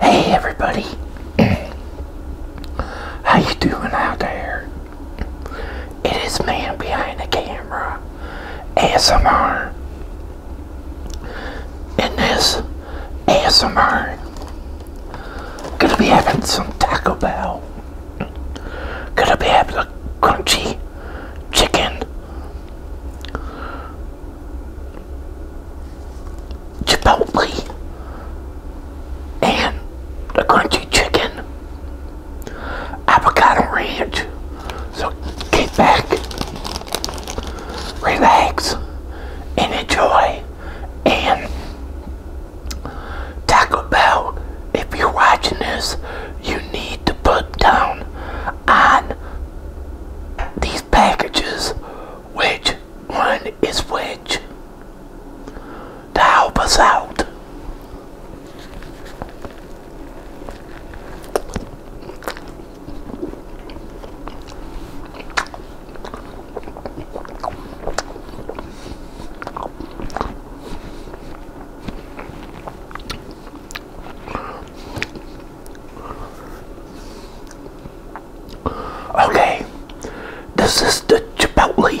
Hey everybody, how you doing out there? It is man behind the camera, ASMR. In this ASMR, gonna be having some Taco Bell. Gonna be having a crunchy chicken Chipotle and the crunchy chicken, avocado ranch. So get back, relax, and enjoy. And Taco Bell, if you're watching this, you need to put down on these packages which one is which to help us out. Okay, this is the Chipotle.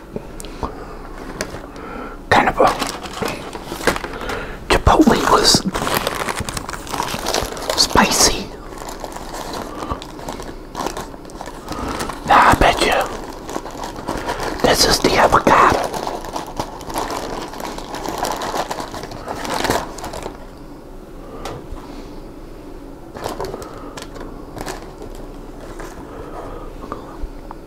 kind of a Chipotle was spicy. I bet you this is the avocado.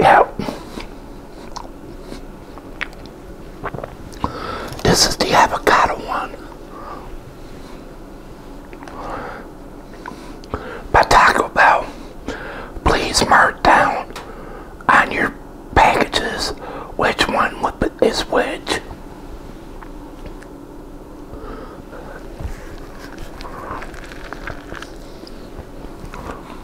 Yeah. This is the avocado one. But Taco Bell, please mark down on your packages which one is which.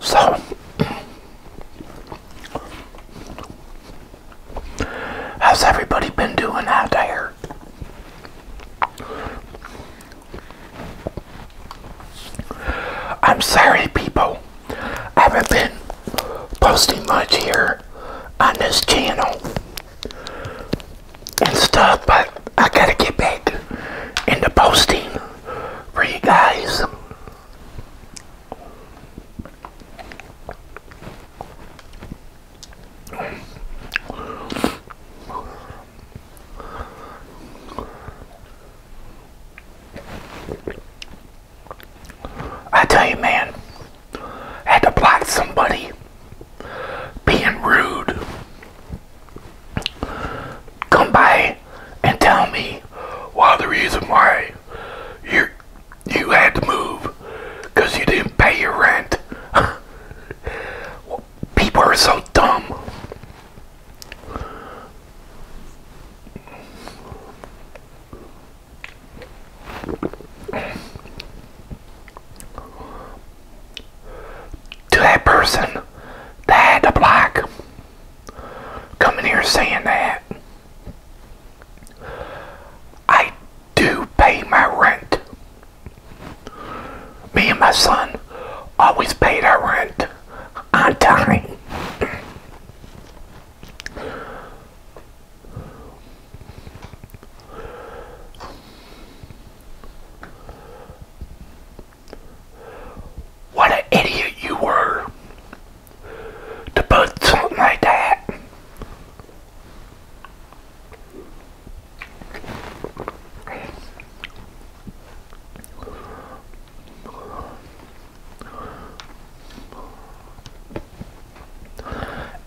So how's everybody been doing out there? I'm sorry people I haven't been posting much here on this channel and stuff, but I gotta get back into posting for you guys. I tell you, man, I had to block somebody being rude. Come by and tell me why the reason why you you had to move because you didn't pay your rent. People are so dumb to that person that had the block coming here saying that I do pay my rent. Me and my son always pay our rent on time. What an idiot you were to put something like that.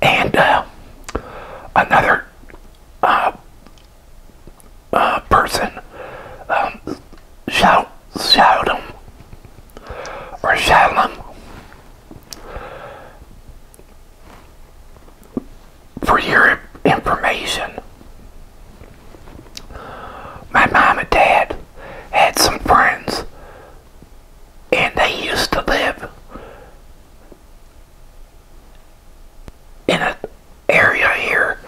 And uh, another uh, uh, person, um, shout, shout or shout For your information, my mom and dad had some friends and they used to live in an area here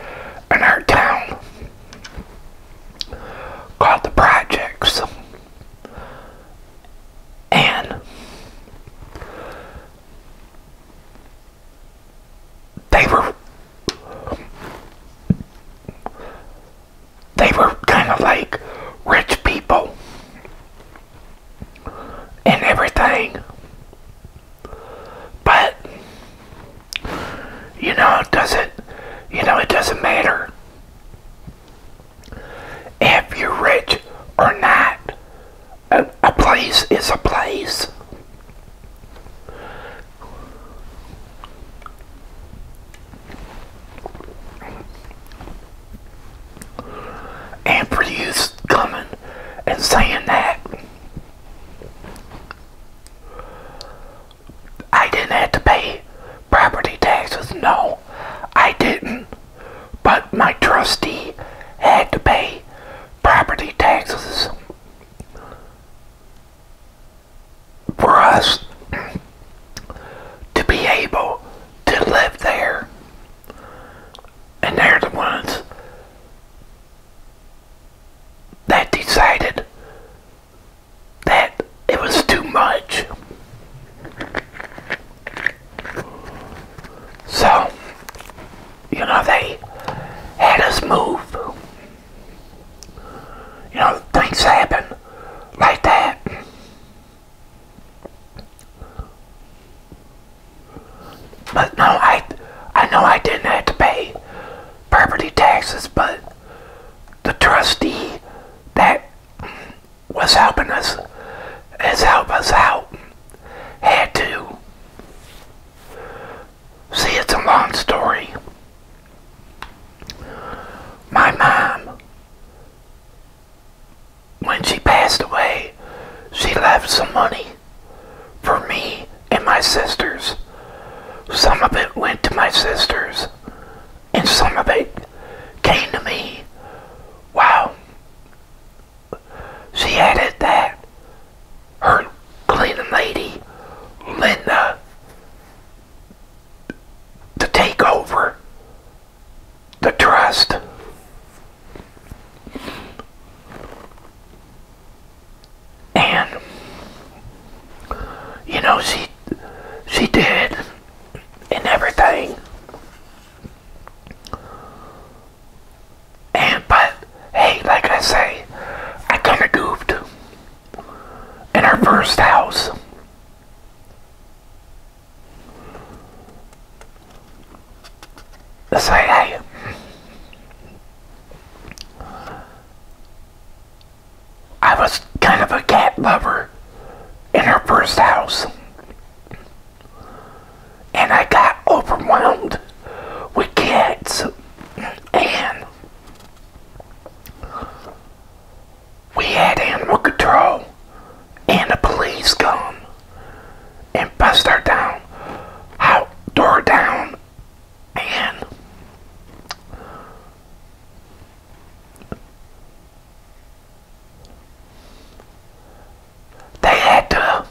in our town called the Projects. And they were they were kind of like rich people and everything. But you know, it doesn't you know, it doesn't matter if you're rich or not. A, place is a place. And produce coming and saying that, I didn't have to pay property taxes. No, I didn't. But my trustee had to pay property taxes for us to be able to live there. And they're the ones that decided that it was too much. So, you know, they had us move. You know, things happen like that. But no, I I know I didn't have to pay property taxes, but the trustee that was helping us has helped us out had to See, it's a long story. My mom, when she passed away, she left some money for me and my sisters. Some of it went to my sisters, and some of it came to me. Wow. She added that her cleaning lady, Linda, to take over the trust. And you know she she did and everything. And but hey, like I say, I kind of goofed in our first house. say, I was kind of a cat lover in our first house. And I got overwhelmed with cats. And we had animal control and the police come and bust her down, out, door down, and they had to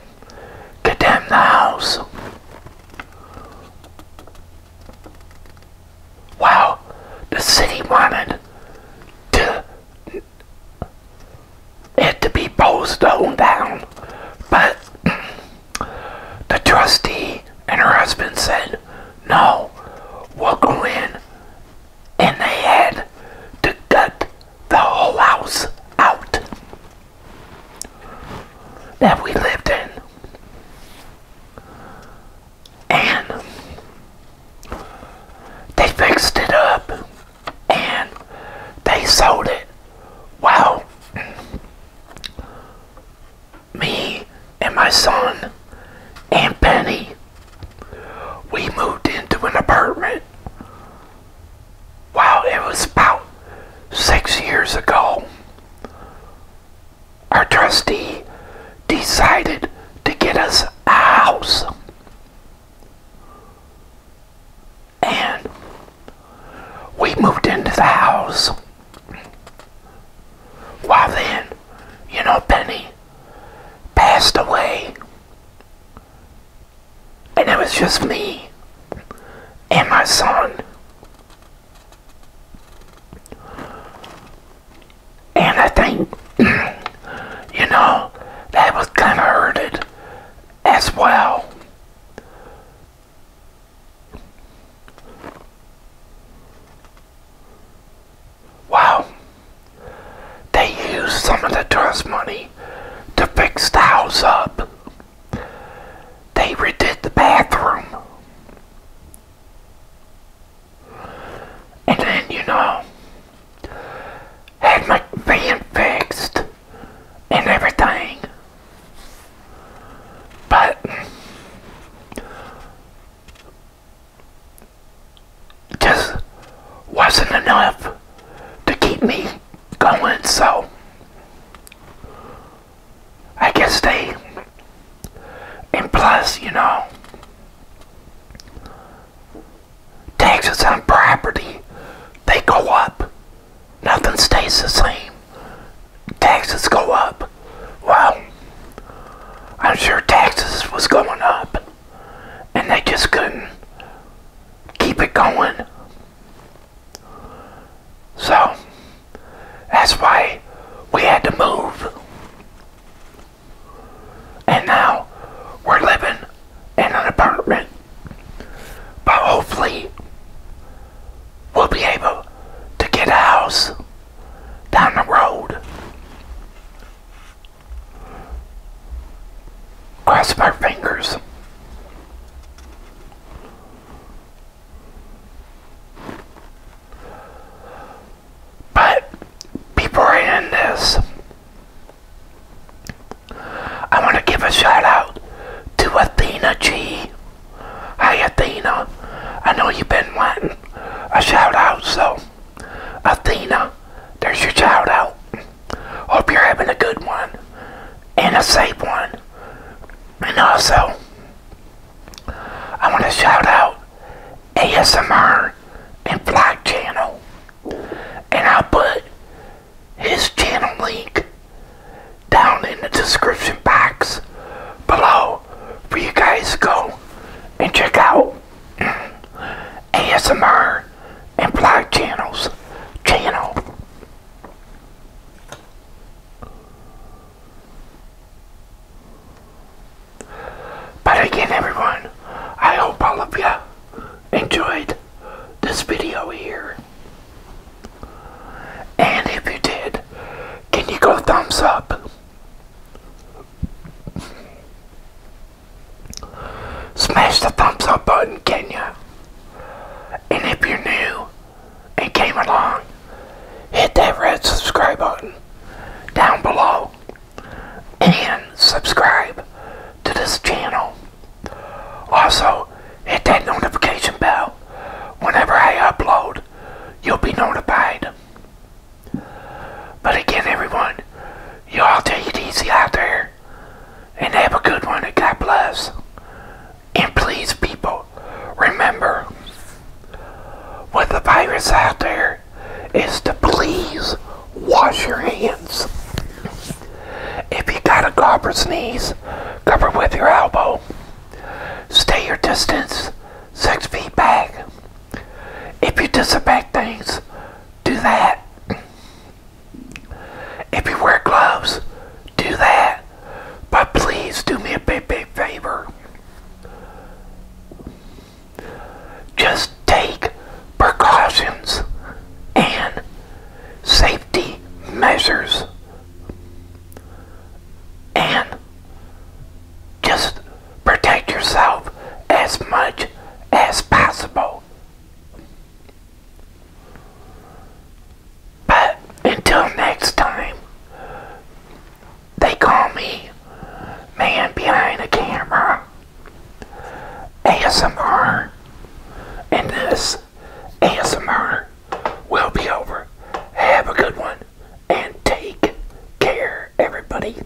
condemn the house Wow, the city wanted it to be bowstone down, but the trustee and her husband said, "No, we'll go in," and they had to gut the whole house out that we lived in. And they fixed it up and they sold it. Wow. Me and my son and Penny, we moved into an apartment. Wow, it was about six years ago. Our trustee decided to get us a house. And we moved into the house. While then, you know, Penny passed away. And it was just me and my son. And I think, you know, that was kind of hurted as well. Wow. They used some of the trust money to fix the up. They redid the bathroom. And then, you know, had my van fixed and everything. But just wasn't enough to keep me going, so I guess they, and plus, you know, taxes on property, they go up. Nothing stays the same. Taxes go up. Well, I'm sure taxes was going up, and they just couldn't keep it going. So, that's why we had to move. And now we're living in an apartment. But hopefully, we'll be able to get a house down the road. Cross my fingers. But before I end this, I want to give a shout out to Athena G. Hi, Athena. I know you've been waiting. a shout out, so Athena, there's your shout out. Hope you're having a good one and a safe one. And also, I want to shout out ASMR and Vlog Channel. And I'll put his channel link down in the description box below for you guys to go and check out ASMR and Vlog Channel's channel. But again, everyone, I hope all of you enjoyed this video here. And if you did, can you go thumbs up? Smash the thumbs up button, can you? And if you're new and came along, hit that red subscribe button down below and subscribe to this channel. Also, hit that notification bell. Whenever I upload, you'll be notified. But again, everyone, y'all take it easy out there. And have a good one. And God bless. And please, people, remember what the virus out there is to please wash your hands. If you got a cough or sneeze, cover with your elbow. Stay your distance, six feet back. If you disinfect things, do that. If you wear gloves, do that. But please do me a big, big favor. Just take precautions and safety measures and just protect yourself as much as possible. But until next time, they call me Man Behind the Camera ASMR, and this ASMR will be over. Have a good one, and take care, everybody.